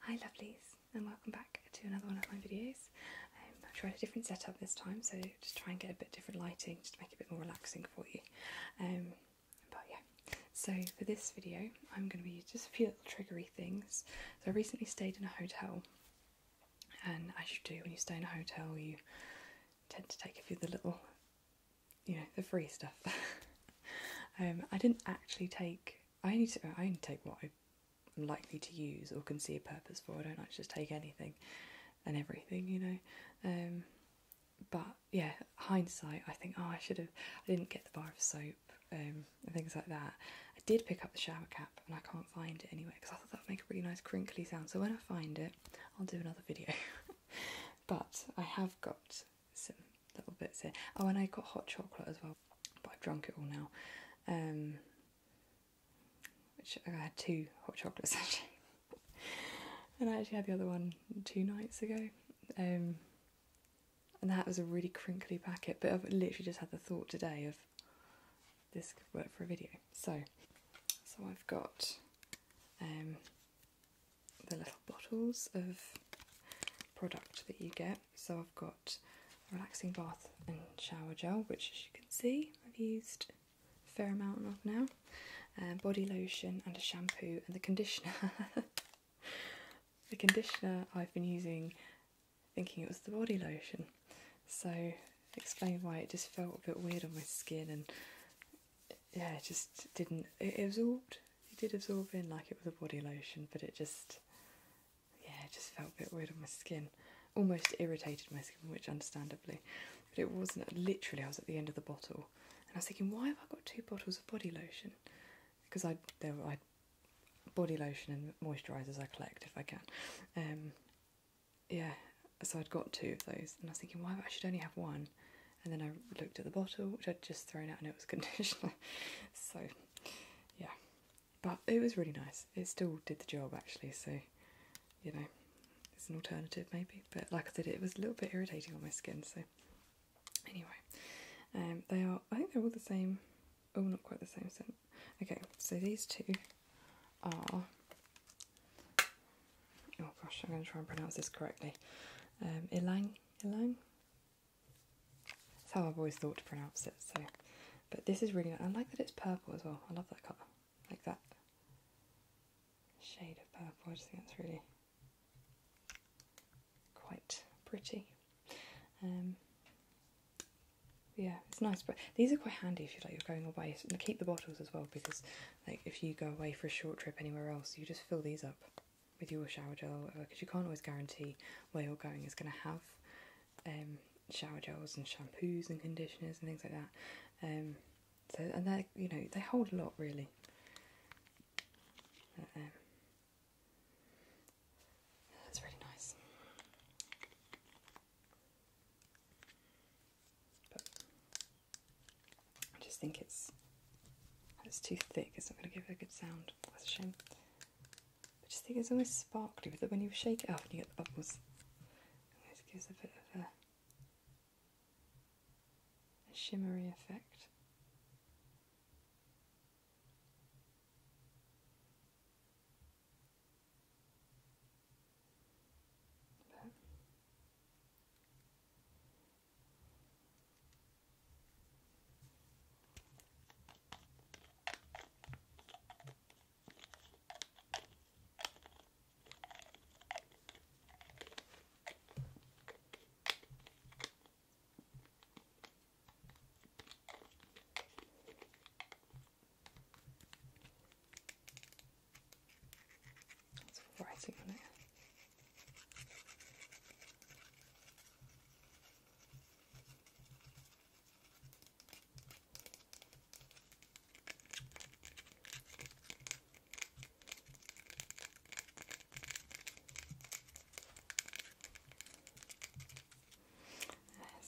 Hi lovelies and welcome back to another one of my videos. Um, I've tried a different setup this time so just try and get a bit different lighting just to make it a bit more relaxing for you. Um, but yeah, so for this video I'm going to be just a few little triggery things. So I recently stayed in a hotel and as you do when you stay in a hotel you tend to take a few of the little, you know, the free stuff. Um, I didn't actually take I need to I only take what I'm likely to use or can see a purpose for. I don't like just take anything and everything, you know. Um, but yeah, hindsight, I think, oh, I should have, I didn't get the bar of soap um, and things like that. I did pick up the shower cap and I can't find it anywhere because I thought that would make a really nice crinkly sound. So when I find it, I'll do another video. but I have got some little bits here. Oh, and I got hot chocolate as well, but I've drunk it all now. Um, which I had two hot chocolates actually, and I actually had the other one two nights ago. Um, and that was a really crinkly packet, but I've literally just had the thought today of this could work for a video. So, so I've got um, the little bottles of product that you get so I've got a relaxing bath and shower gel, which as you can see I've used a fair amount of now, body lotion and a shampoo and the conditioner. the conditioner I've been using thinking it was the body lotion, so explain why it just felt a bit weird on my skin and yeah, it just didn't, it absorbed, it did absorb in like it was a body lotion, but it just yeah, it just felt a bit weird on my skin. Almost irritated my skin, which understandably. But it wasn't literally I was at the end of the bottle and I was thinking, why have I got two bottles of body lotion? Because I there I body lotion and moisturisers I collect if I can. Um, yeah, so I'd got two of those, and I was thinking, why I should only have one. And then I looked at the bottle, which I'd just thrown out, and it was conditioner. so yeah, but it was really nice. It still did the job actually, so you know, it's an alternative maybe. But like I said, it was a little bit irritating on my skin. So anyway, um, they are. I think they're all the same. Oh, not quite the same scent. Okay, so these two are. Oh gosh, I'm going to try and pronounce this correctly. Um, Ilang, Ilang, that's how I've always thought to pronounce it. So, but this is really I like that it's purple as well. I love that colour, like that shade of purple. I just think that's really quite pretty. Um, yeah, it's nice, but these are quite handy if you like you're going away. keep the bottles as well because, like, if you go away for a short trip anywhere else, you just fill these up with your shower gel because uh, you can't always guarantee where you're going is going to have um, shower gels and shampoos and conditioners and things like that. Um, so and they you know they hold a lot really. Um, that's really nice. I just think it's it's too thick. It's not going to give a good sound. That's a shame. I just think it's almost sparkly, but when you shake it up and you get the bubbles, it gives a bit of a, shimmery effect. Lots of writing on it.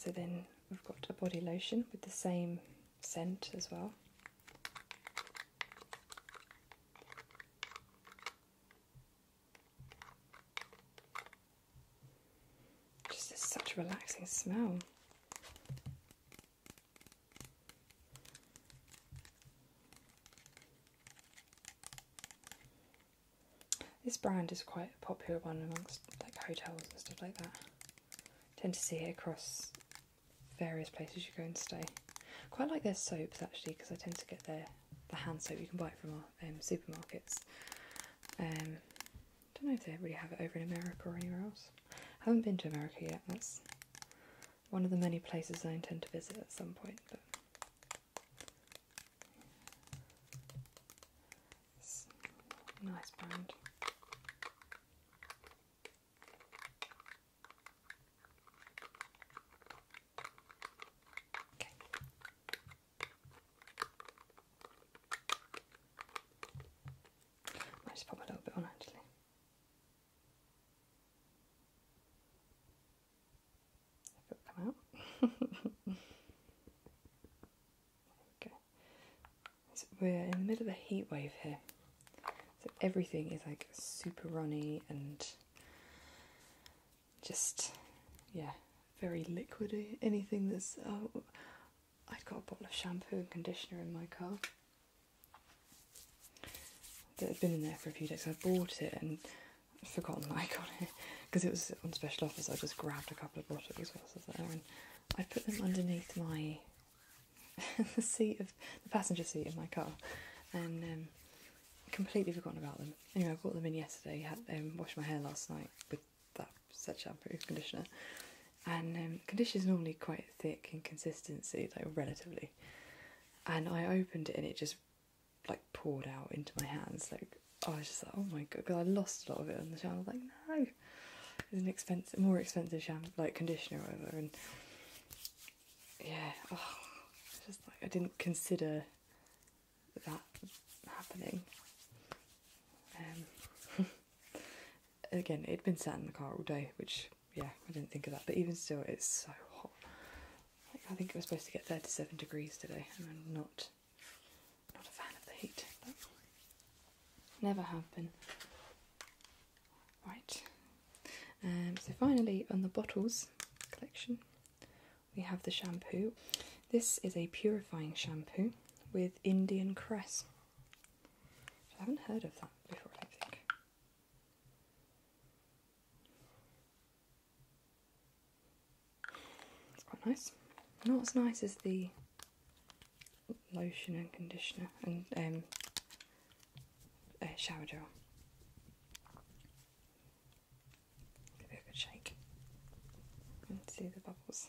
So then we've got a body lotion with the same scent as well. Just such a relaxing smell. This brand is quite a popular one amongst like hotels and stuff like that. Tend to see it across various places you go and stay. Quite like their soaps actually because I tend to get their the hand soap. You can buy from our um, supermarkets. I um, don't know if they really have it over in America or anywhere else. I haven't been to America yet. That's one of the many places I intend to visit at some point. nice brand. Okay. I just pop a little bit on actually. come out. there we're in the middle of a heat wave here. So everything is like super runny and just yeah, very liquidy. Anything that's uh, oh, I've got a bottle of shampoo and conditioner in my car that had been in there for a few days. I bought it and forgotten I got it because it was on special offer. I just grabbed a couple of bottles whilst I and I put them underneath my seat of the passenger seat in my car, and um, completely forgotten about them. Anyway, I bought them in yesterday. Had them um, washed my hair last night with that set shampoo conditioner, and um, conditioner is normally quite thick in consistency, like relatively. And I opened it and it just like poured out into my hands. Like I was just like, oh my god, because I lost a lot of it on the shower. like, no, it's an expensive, more expensive shampoo, like conditioner or whatever. And yeah, oh, just like I didn't consider that happening. Um, again, it'd been sat in the car all day, which yeah, I didn't think of that. But even still, it's so hot. I think it was supposed to get 37 degrees today, and I'm not not a fan of the heat. never happened. Right. Um, so finally, on the bottles collection, we have the shampoo. This is a purifying shampoo with Indian cress. I haven't heard of that before, I think. It's quite nice. Not as nice as the lotion and conditioner and um, uh, shower gel. Give it a shake and see the bubbles.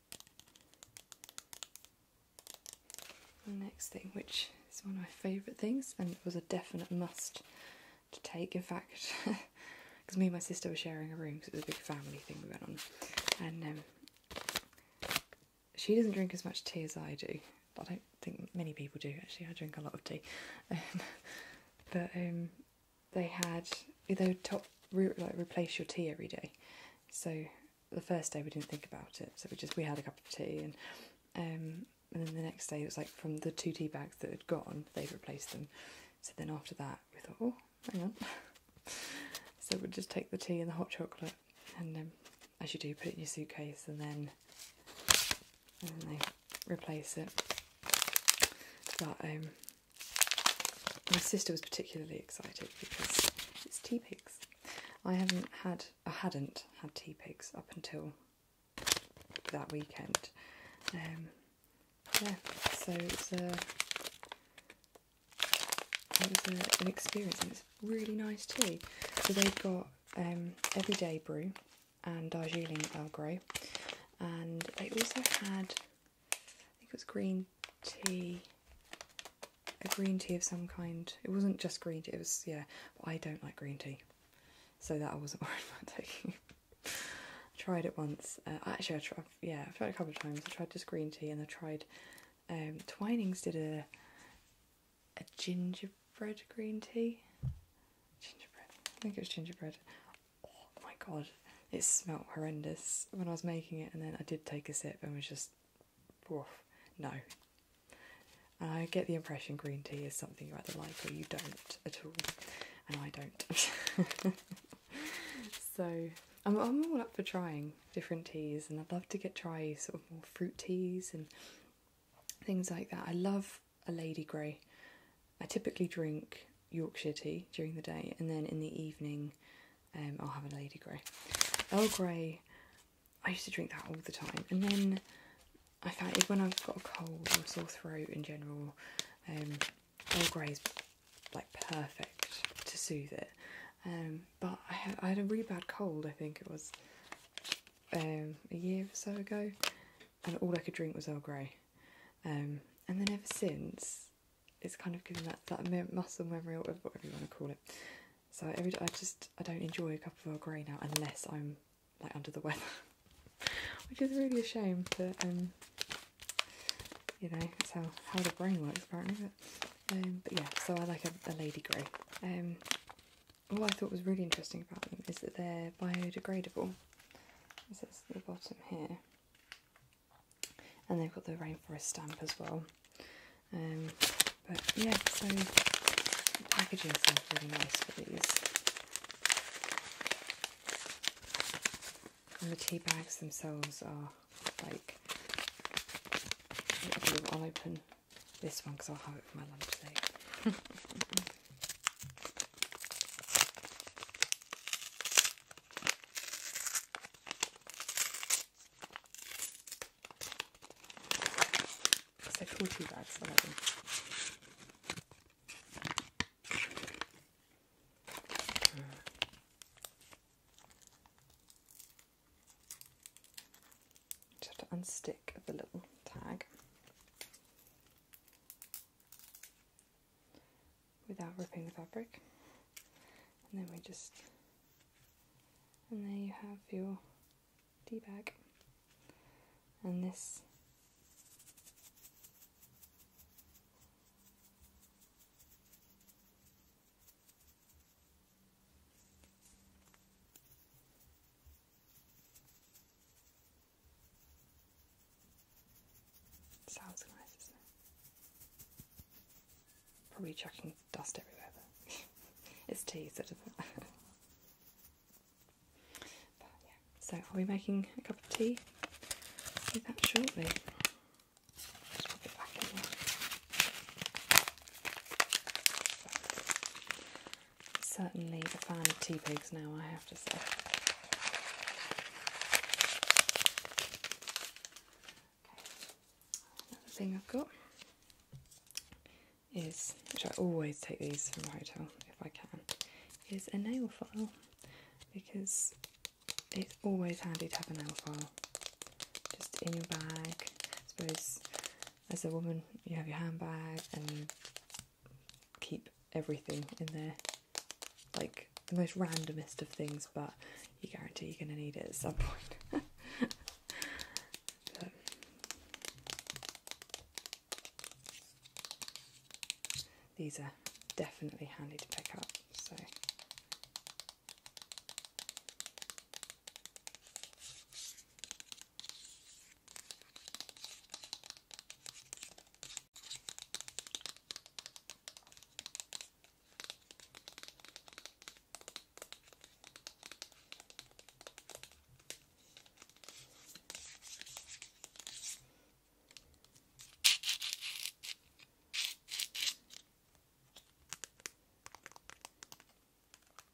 The next thing, which is one of my favourite things, and it was a definite must to take, in fact, because me and my sister were sharing a room because it was a big family thing we went on, and um, she doesn't drink as much tea as I do. I don't think many people do actually. I drink a lot of tea, but um, they had they would top like replace your tea every day, so the first day we didn't think about it, so we just we had a cup of tea and um, and then the next day it was like from the two tea bags that had gone, they've replaced them. So then after that we thought, oh, hang on. so we'd just take the tea and the hot chocolate and um, as you do, put in your suitcase and then and they replace it. But um, my sister was particularly excited because it's tea pigs. I haven't had, I hadn't had tea pigs up until that weekend. Um, yeah, so it was an experience and it's really nice tea. So they've got um, Everyday Brew and Darjeeling Earl Grey, and they also had I think it was green tea, a green tea of some kind. It wasn't just green tea, it was, yeah, I don't like green tea. So that I wasn't worried about taking. tried it once. Uh, actually, I tried, yeah, i tried a couple of times. I tried just green tea and I tried, um, Twinings did a, a gingerbread green tea. Gingerbread. I think it was gingerbread. Oh my god. It smelt horrendous when I was making it, and then I did take a sip and was just, woof, no. I get the impression green tea is something you either like or you don't at all, and I don't. so I'm, I'm all up for trying different teas, and I'd love to get try sort of more fruit teas and things like that. I love a Lady Grey. I typically drink Yorkshire tea during the day, and then in the evening um, I'll have a Lady Grey. Earl Grey, I used to drink that all the time, and then I found it when I've got a cold or sore throat in general. Um, Earl Grey's like perfect to soothe it. Um, but I had, a really bad cold. I think it was um, a year or so ago, and all I could drink was Earl Grey. and then ever since, it's kind of giving that that muscle memory or whatever you want to call it. So every day I just I don't enjoy a cup of Earl Grey now unless I'm like under the weather, which is really a shame. But um, you know that's how how the brain works apparently. Um, but yeah, so I like a, a Lady Grey. Um, what I thought was really interesting about them is that they're biodegradable. This is the bottom here and they've got the rainforest stamp as well. Um, but yeah, so the packaging sounds really nice for these. And the tea bags themselves are like, I'll open this one because I'll have it for my lunch today. I told you that's already. Mm. Just unstick the little tag without ripping the fabric. And then we just, and there you have your tea bag. And this sounds nice, isn't it? Probably chucking dust everywhere, but it's tea, so doesn't. but so I'll be making a cup of tea. that shortly. Certainly a fan of tea pigs now, I have to say. Another thing I've got is, which I always take these from the hotel if I can, is a nail file because it's always handy to have a nail file just in your bag. I suppose as a woman, you have your handbag and keep everything in there, like the most randomest of things, but you guarantee you're going to need it at some point. Um, these are definitely handy to pick up, so.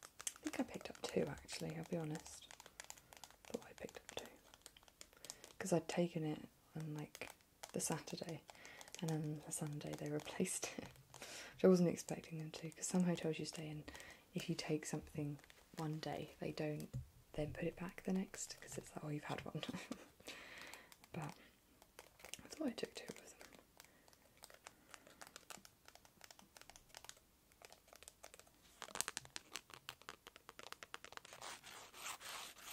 I think I picked up two actually, I'll be honest. But I picked up two. Because I'd taken it and like the Saturday, and then the Sunday they replaced it, which I wasn't expecting them to because some hotels you stay in, if you take something one day, they don't then put it back the next because it's like, oh, you've had one. but I thought I took two of them.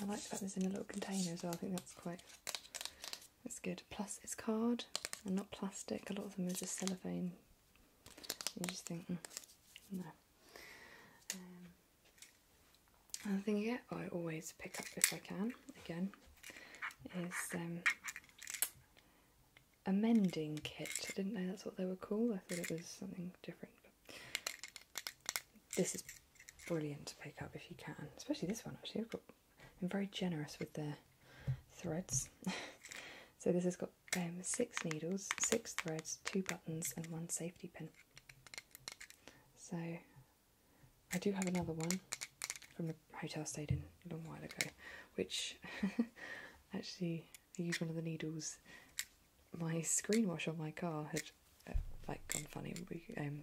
I like that it's in a little container as well. I think that's quite that's good. Plus, it's card and not plastic. A lot of them are just cellophane. You just think, mm, no. Um, another thing you I always pick up if I can. Again, is um, a mending kit. I didn't know that's what they were called. I thought it was something different, this is brilliant to pick up if you can, especially this one actually. I've got, am very generous with the threads. so this has got um, six needles, six threads, two buttons, and one safety pin. So I do have another one from the hotel I stayed in a long while ago, which actually I used one of the needles my screen wash on my car had uh, like gone funny. We um,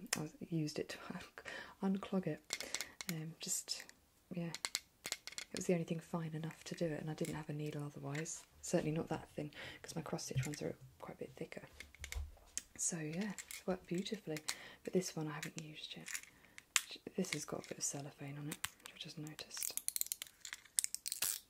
used it to unclog it. Um, just yeah, it was the only thing fine enough to do it, and I didn't have a needle otherwise. Certainly not that thin because my cross stitch ones are quite a bit thicker. So yeah, it's worked beautifully. But this one I haven't used yet. This has got a bit of cellophane on it, which I just noticed.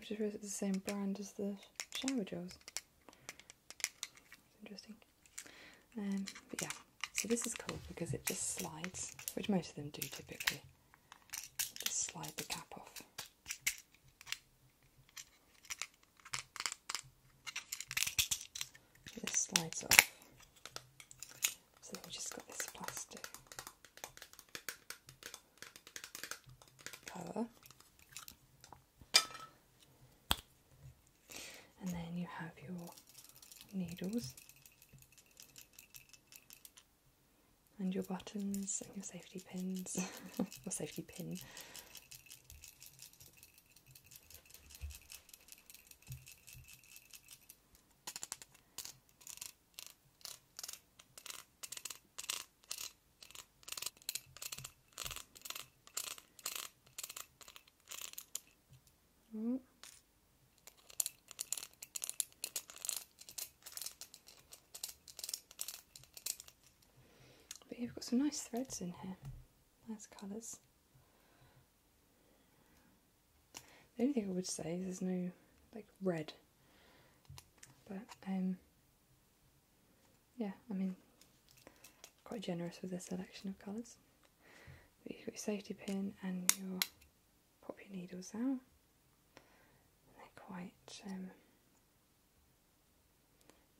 Which is am the same brand as the shower gels. Interesting. Um, but yeah, so this is cool because it just slides, which most of them do typically. Just slide the cap off. This slides off. So we just got this plastic And then you have your needles and your buttons and your safety pins or safety pin Mm. But you've got some nice threads in here, nice colours. The only thing I would say is there's no like red, but um, yeah, I mean, quite generous with the selection of colours. you've got your safety pin and your pop your needles out. They're quite um,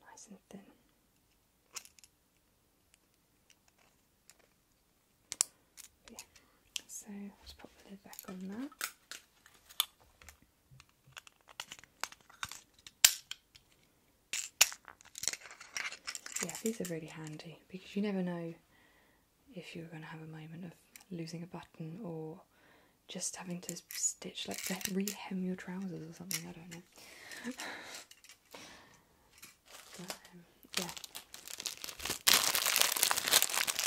nice and thin. Yeah, so let's the lid back on that. Yeah, these are really handy because you never know if you're going to have a moment of losing a button or just having to stitch like rehem your trousers or something. I don't know. yeah.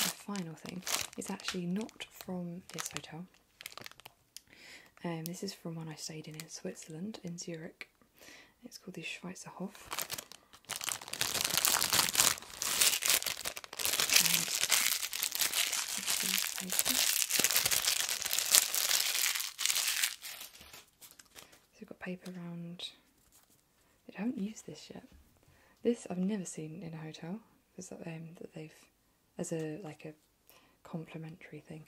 The final thing is actually not from this hotel. Um, this is from one I stayed in in Switzerland, in Zurich. It's called the Schweizerhof. So we've got paper round. I haven't used this yet. This I've never seen in a hotel. Is that, um, that they've as a like a complimentary thing,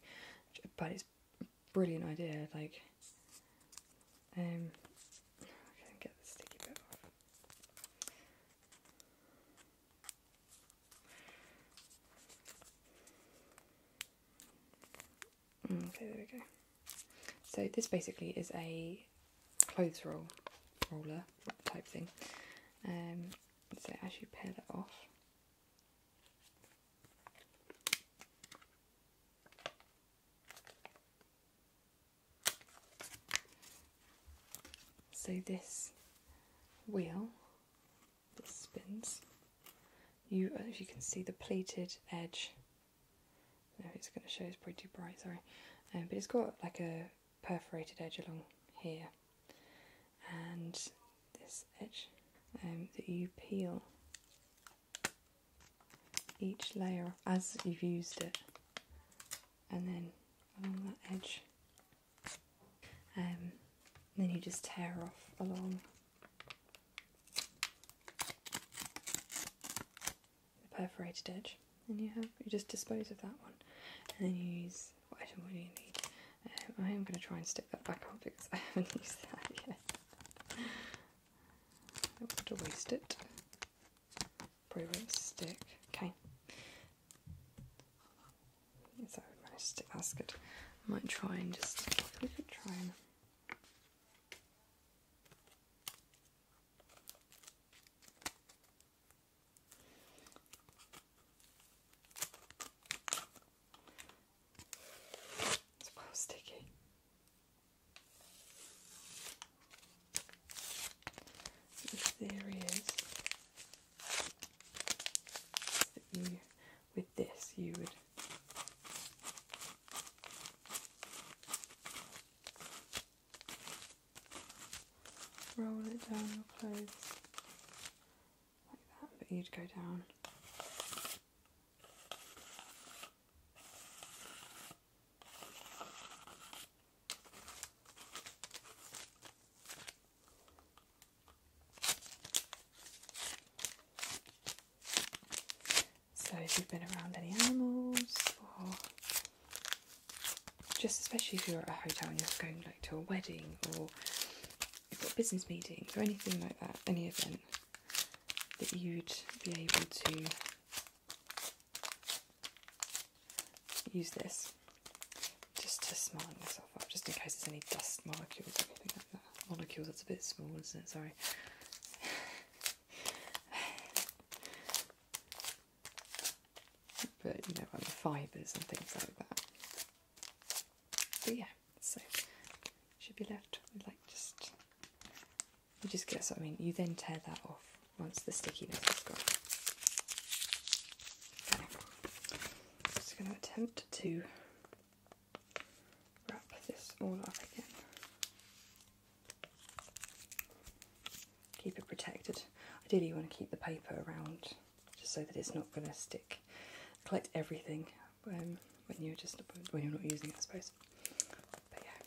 but it's a brilliant idea. Like, um, get the sticky bit off. Okay, there we go. So this basically is a clothes roll roller type thing. Um, so as you pair that off, so this wheel that spins you, as you can see, the pleated edge. No, it's going to show. It's pretty bright. Sorry, um, but it's got like a perforated edge along here, and this edge um, that you peel each layer as you've used it, and then along that edge, um, and then you just tear off along the perforated edge, and you have you just dispose of that one, and then you use um, I am going to try and stick that back on because I haven't used that yet. I don't want to waste it. Probably won't stick. Okay. So I managed to stick. That's good. might try and just. We could try and it's well sticky. The theory is you with this you would roll it down your clothes like that, but you'd go down. So if you've been around any animals, or just especially if you're at a hotel and you're going like to a wedding or you've got business meetings or anything like that, any event that you'd be able to use this just to smarten myself up, just in case there's any dust molecules or anything Molecules. that's a bit small, isn't it? Sorry. but you know, and the fibres and things like that. But yeah, so should be left like just you just guess I mean. You then tear that off once the stickiness has gone. Okay. Just going to attempt to wrap this all up again. Keep it protected. Ideally, you want to keep the paper around just so that it's not going to stick. Collect everything um, when you're just when you're not using it, I suppose. But yeah.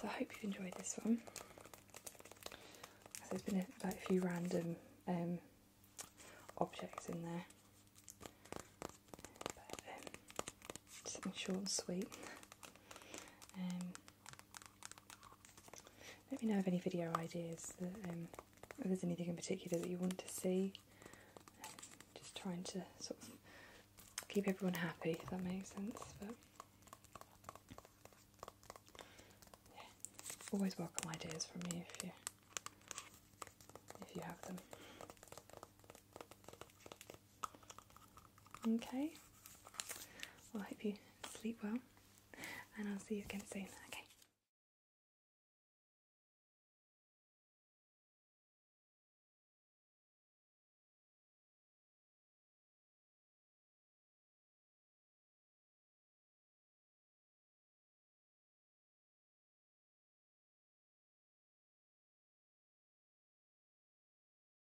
So I hope you've enjoyed this one. There's been a, like a few random um, objects in there. Um, something short and sweet. Um, let me know if any video ideas, um, if there's anything in particular that you want to see. just trying to sort of keep everyone happy, if that makes sense. But always welcome ideas from you if you if you have them. Okay. Well, I hope you sleep well, and I'll see you again soon. Okay.